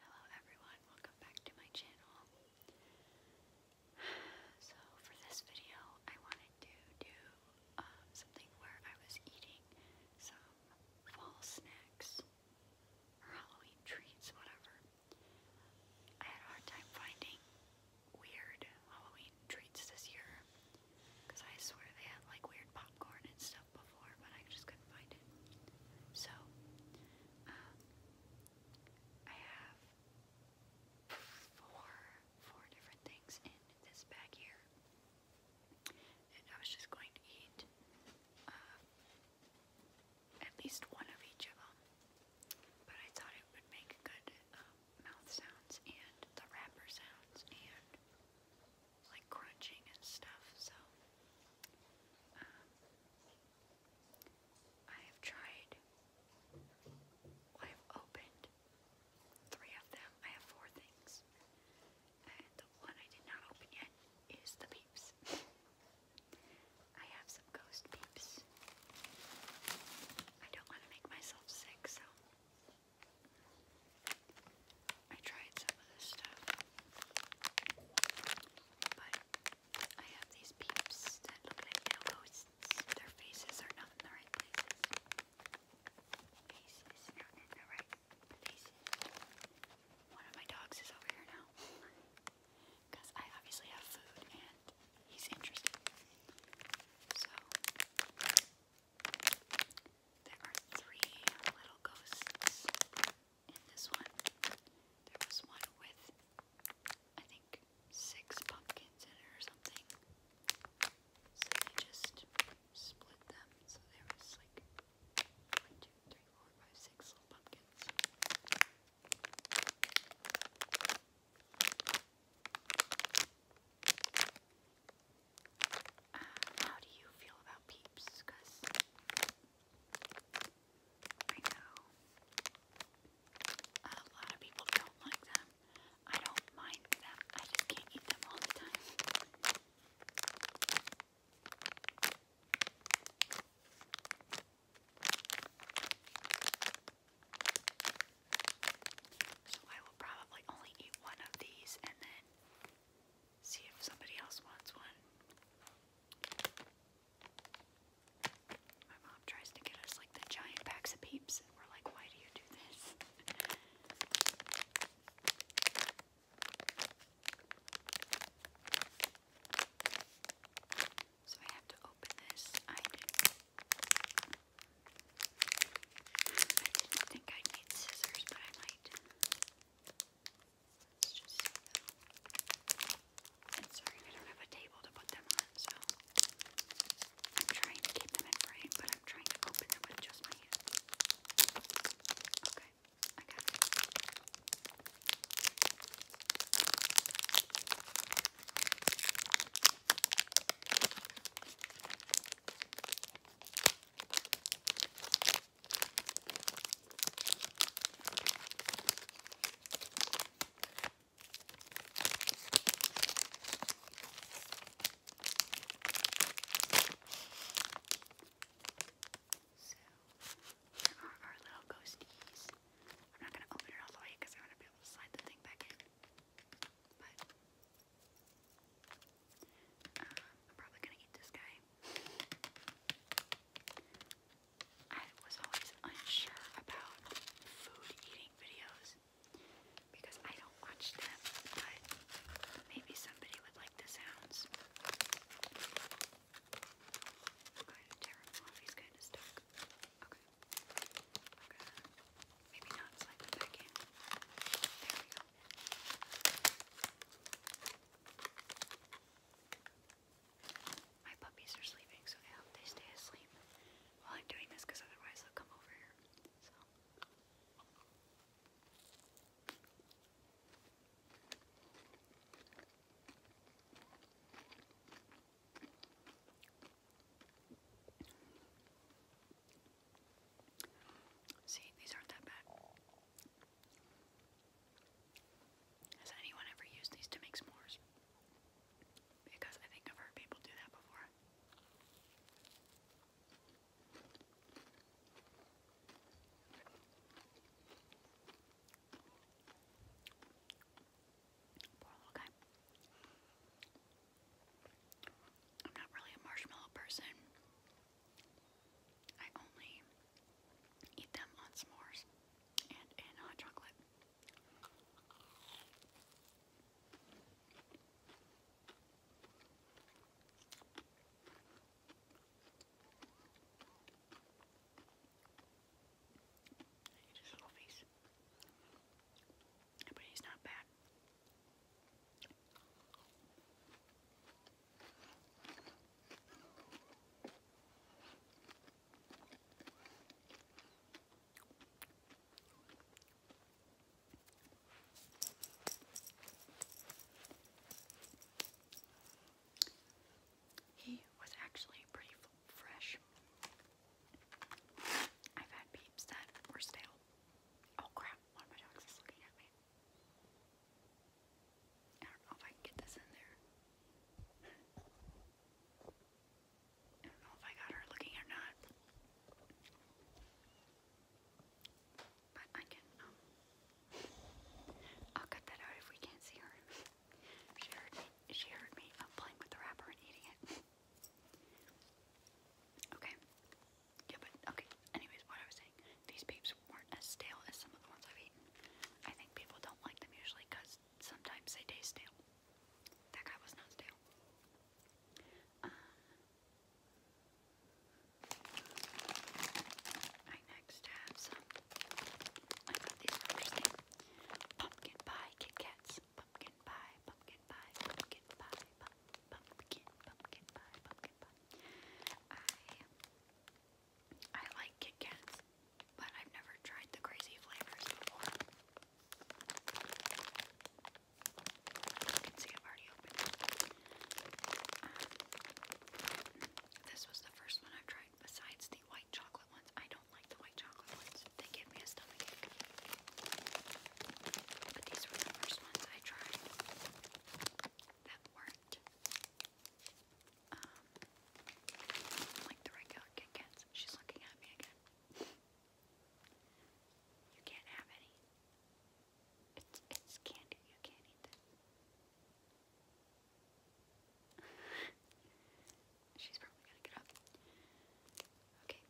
Hello everyone, welcome back to my channel. So for this video, I wanted to do um, something where I was eating some fall snacks or Halloween treats, whatever. I had a hard time finding weird Halloween treats this year because I swear they had like weird popcorn and stuff before, but I just couldn't find it. So, um, I have four, four different things in this bag here. And I was just going to eat uh, at least one of each of them. But I thought it would make good um, mouth sounds and the wrapper sounds and like crunching and stuff. So um, I have tried, I've opened three of them. I have four things. And the one I did not open yet is the peeps. I have some ghost peeps. I don't want to make myself sick, so I tried some of this stuff. But I have these peeps that look like little ghosts. Their faces are not in the right places. Faces not in the right places. One of my dogs is over here now. Because I obviously have food and he's interested. So there are three little ghosts in this one. There was one with, I think, six pumpkins in it or something. they just split them. So there was like one, two, three, four, five, six little pumpkins. Uh, how do you feel about peeps? Because I know a lot of people don't like them. I don't mind them. I just can't eat them all the time. So I will probably only eat one of these and then see if somebody else wants one. My mom tries to get us like the giant packs of peeps, and we're like, why do you do this? so I have to open this. I didn't, think I'd need scissors, but I might. Let's sorry, I don't have a table to put them on, so I'm trying to keep them in frame, but I'm trying to open them with just my hand. Okay, I got it. So, there are our little ghosties. I'm not going to open it all the way because I want to be able to slide the thing back in. But, uh, I'm probably going to eat this guy. I was always unsure about food eating videos because I don't watch them, but maybe somebody would like the sounds. Okay, Maybe not slide them back in. There we go. My puppies are sleeping, so I hope they stay asleep while I'm doing this, because otherwise they'll come over here. See, these aren't that bad. Has anyone ever used these to make s'mores? Because I think I've heard people do that before. Poor little guy. I'm not really a marshmallow person. I only eat them on s'mores and in hot chocolate. He's his little face. But he's not bad. He was actually pretty fresh. I've had peeps that were stale. Oh crap, one of my dogs is looking at me. I don't know if I can get this in there. I don't know if I got her looking or not. But I can, um, I'll cut that out if we can't see her. she heard me, she heard me I'm um, playing with the wrapper and eating it. okay. Yeah, but, okay. Anyways, what I was saying, these peeps weren't as stale as some of the ones I've eaten. I think people don't like them usually because sometimes they taste stale. That guy was not stale. Um, next have some. Pumpkin pie Kit Pumpkin pie, pumpkin pie, pumpkin pie, pumpkin, pumpkin pie, pumpkin pie. I like Kit Kats, but I've never tried the crazy flavors before. You can see I've already opened um, this was the first one i tried besides the white chocolate ones. I don't like the white chocolate ones. They give me a stomachache. But these were the first ones I tried that weren't um, like the regular Kit Kats. She's looking at me again. you can't have any. It's, it's candy. You can't eat this. She's probably gonna get up. Okay.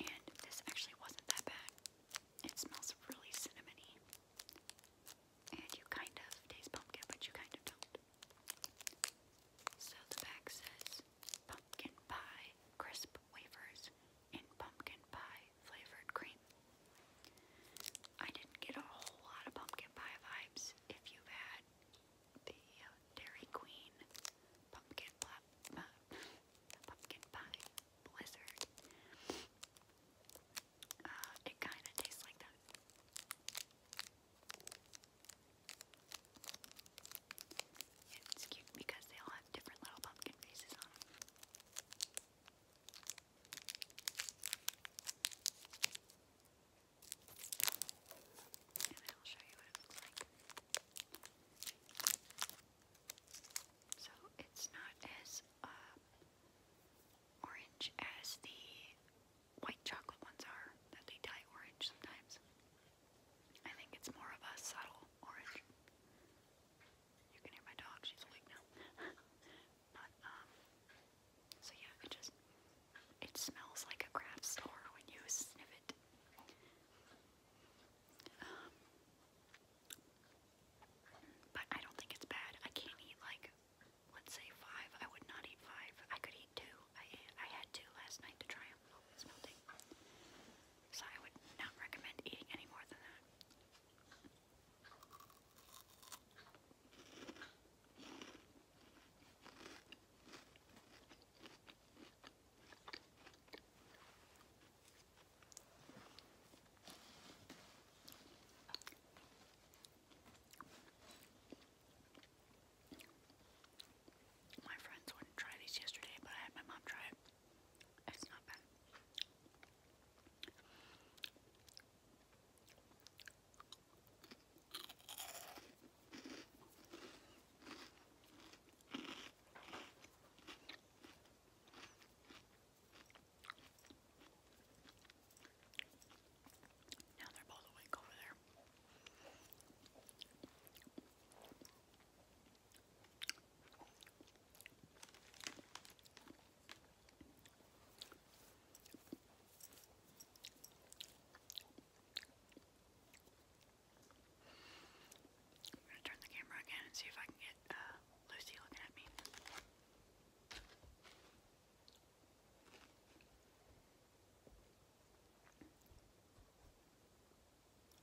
And this actually wasn't that bad. It smells really cinnamony. And you kind of taste pumpkin, but you kind of don't. So the back says pumpkin pie crisp wafers in pumpkin pie flavored cream. I didn't get a whole lot of pumpkin pie vibes. If you've had the Dairy Queen pumpkin plop, uh, pumpkin pie blizzard, uh, it kind of tastes like that. It's cute because they all have different little pumpkin faces on And I'll show you what it looks like. So it's not as uh, orange as the white chocolate ones are, that they dye orange sometimes. I think it's more of a subtle orange. You can hear my dog, she's awake now. but, um, so yeah, it just, it smells like a craft store when you sniff it. Um, but I don't think it's bad. I can't eat like let's say five. I would not eat five. I could eat two. I I had two last night to try them. Oh, it's melting. So I would not recommend eating any more than that. My friends wouldn't try these yesterday, but I had my mom try it. It's not bad. Now they turn the camera again and see if I can get uh, Lucy looking at me.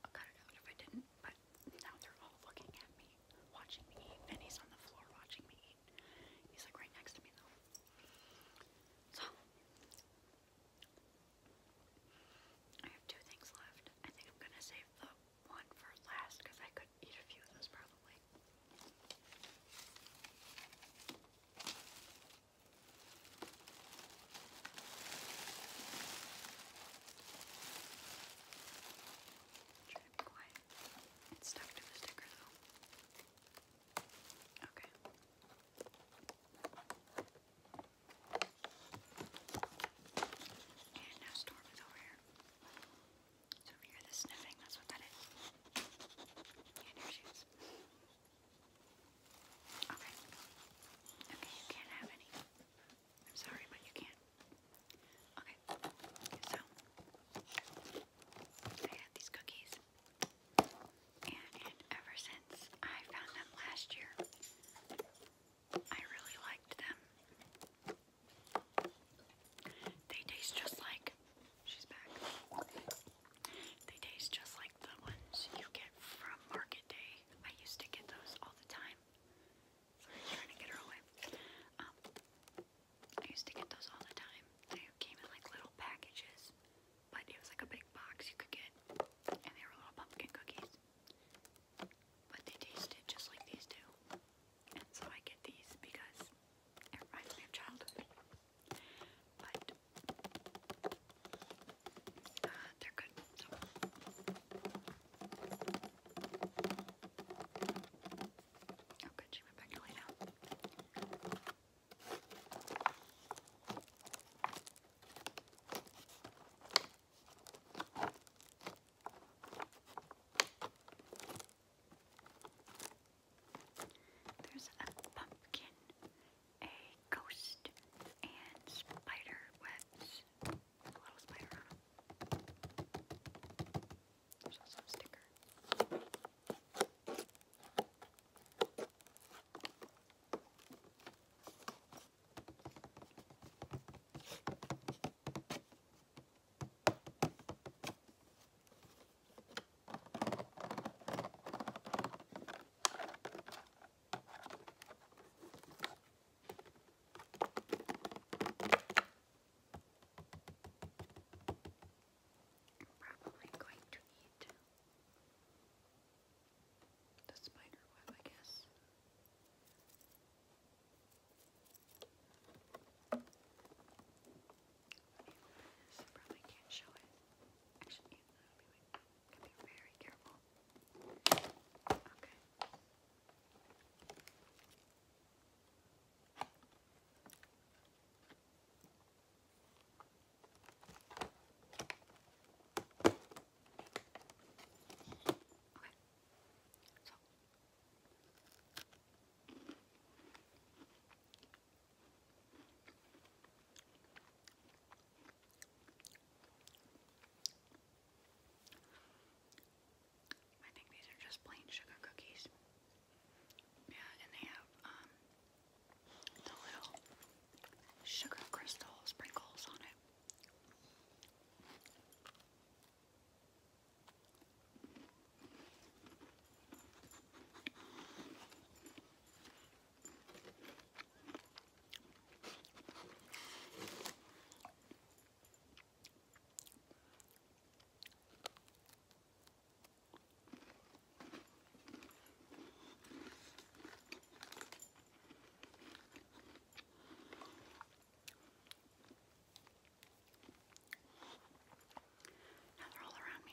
I'll cut it out if I didn't, but now they're all looking at me, watching me eat, he's on the floor watching me He's like right next to me though. So, I have two things left. I think I'm gonna save the one for last because I could eat a few of those probably. Try to be quiet. It's stuck to the sticker though. Okay. And now Storm is over here. So if you hear the sniffing, that's what that is. And here she is. Okay. Okay, you can't have any. I'm sorry, but you can't. Okay. So I had these cookies. And ever since I found them last year, I really liked them. They taste just like they taste just like the ones you get from Market Day. I used to get those all the time. trying to get her away. Um, I used to get those all the time. They came in like little packages, but it was like a big box you could get, and they were little pumpkin cookies. But they tasted just like these do. And so I get these because it reminds me of childhood. But uh, they're good. So. Oh, good. She went back to lay down. There's a pumpkin, a ghost, and spider webs. A spider on There's also a sticker. Probably going to eat the spider web, I guess. So probably can't show it. Actually, that be very careful. Okay. Okay. So I think these are just plain sugar cookies. Yeah, and they have um, the little sugar crystal sprinkles on it. Now they're all around me.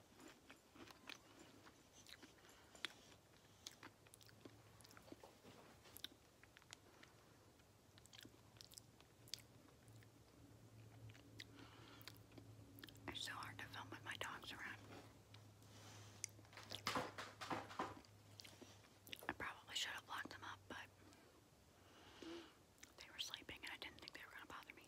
It's so hard to film with my dogs around. I probably should have locked them up, but they were sleeping and I didn't think they were going to bother me.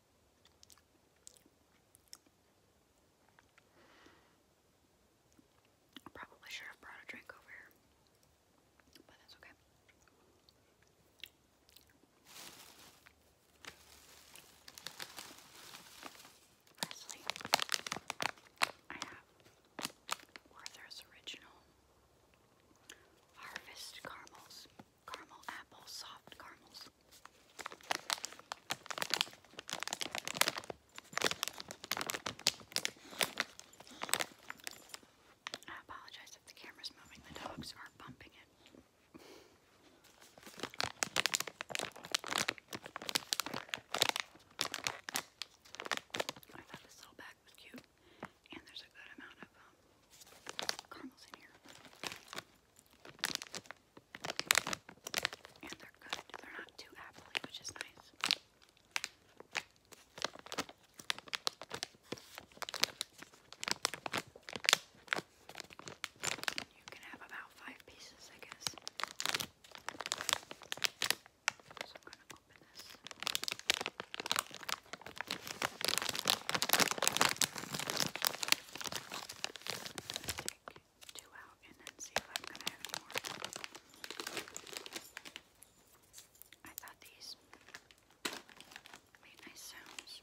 I probably should have brought a drink over here, but that's okay. Lastly, I have Werther's Original Harvest Caramels caramel apples, soft caramels. I apologize if the camera's moving, the dogs are bumping it. I thought this little bag was cute, and there's a good amount of um, caramels in here. And they're good. They're not too appley, which is nice. You can have about five pieces, I guess. So I'm going to open this. Take two out and then see if I'm have more. I thought these made nice sounds.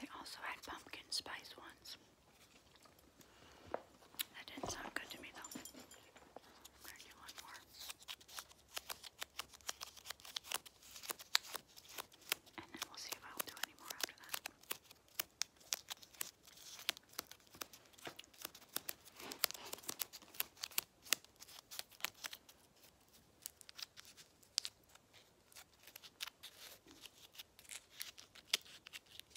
They also had pumpkin spice ones. That didn't sound good to me though. And then we'll see if I'll do any more after that.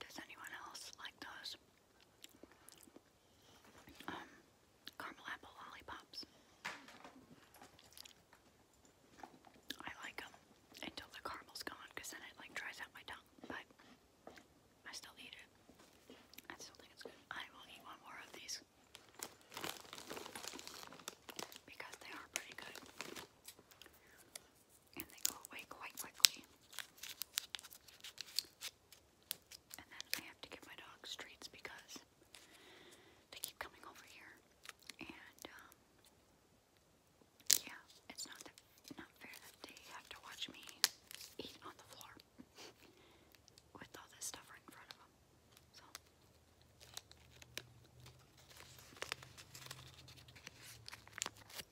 Does anyone else like those? Um, caramel apple lollipops. I like them until the caramel's gone, then it like dries out my tongue. But I still eat it. I still think it's good. I will eat one more of these because they are pretty good, and they go away quite quickly. And then I have to give my dogs treats because they keep coming over here. And, um, yeah, it's not fair that they have to watch me eat on the floor with all this stuff right in front of them. So.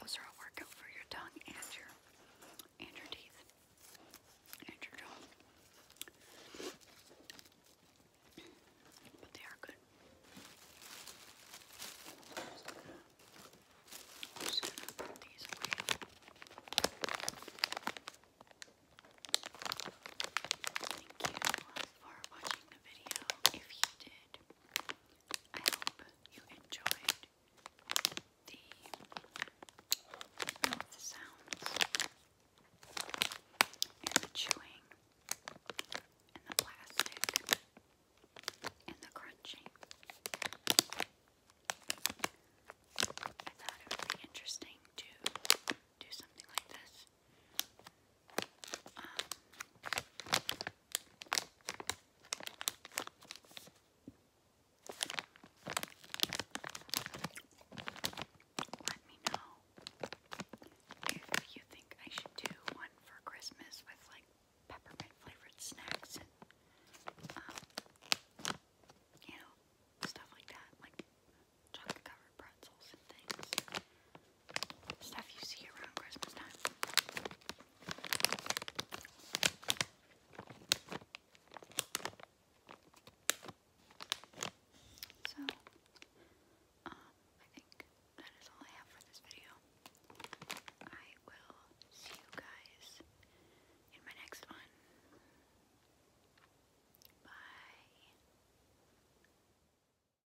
Those are a workout for your tongue and your and your teeth and your jaw. But they are good. Thank you for watching the If you did, I hope you enjoyed the sounds and the chewing and the plastic and the crunching. I thought it would be interesting to do something like this um, let me know if you think I should do one for Christmas with like peppermint flavored snacks and um, you know, stuff like that, like chocolate covered pretzels and things stuff you see around Christmas time. So, um, I think that is all I have for this video. I will see you guys in my next one. Bye.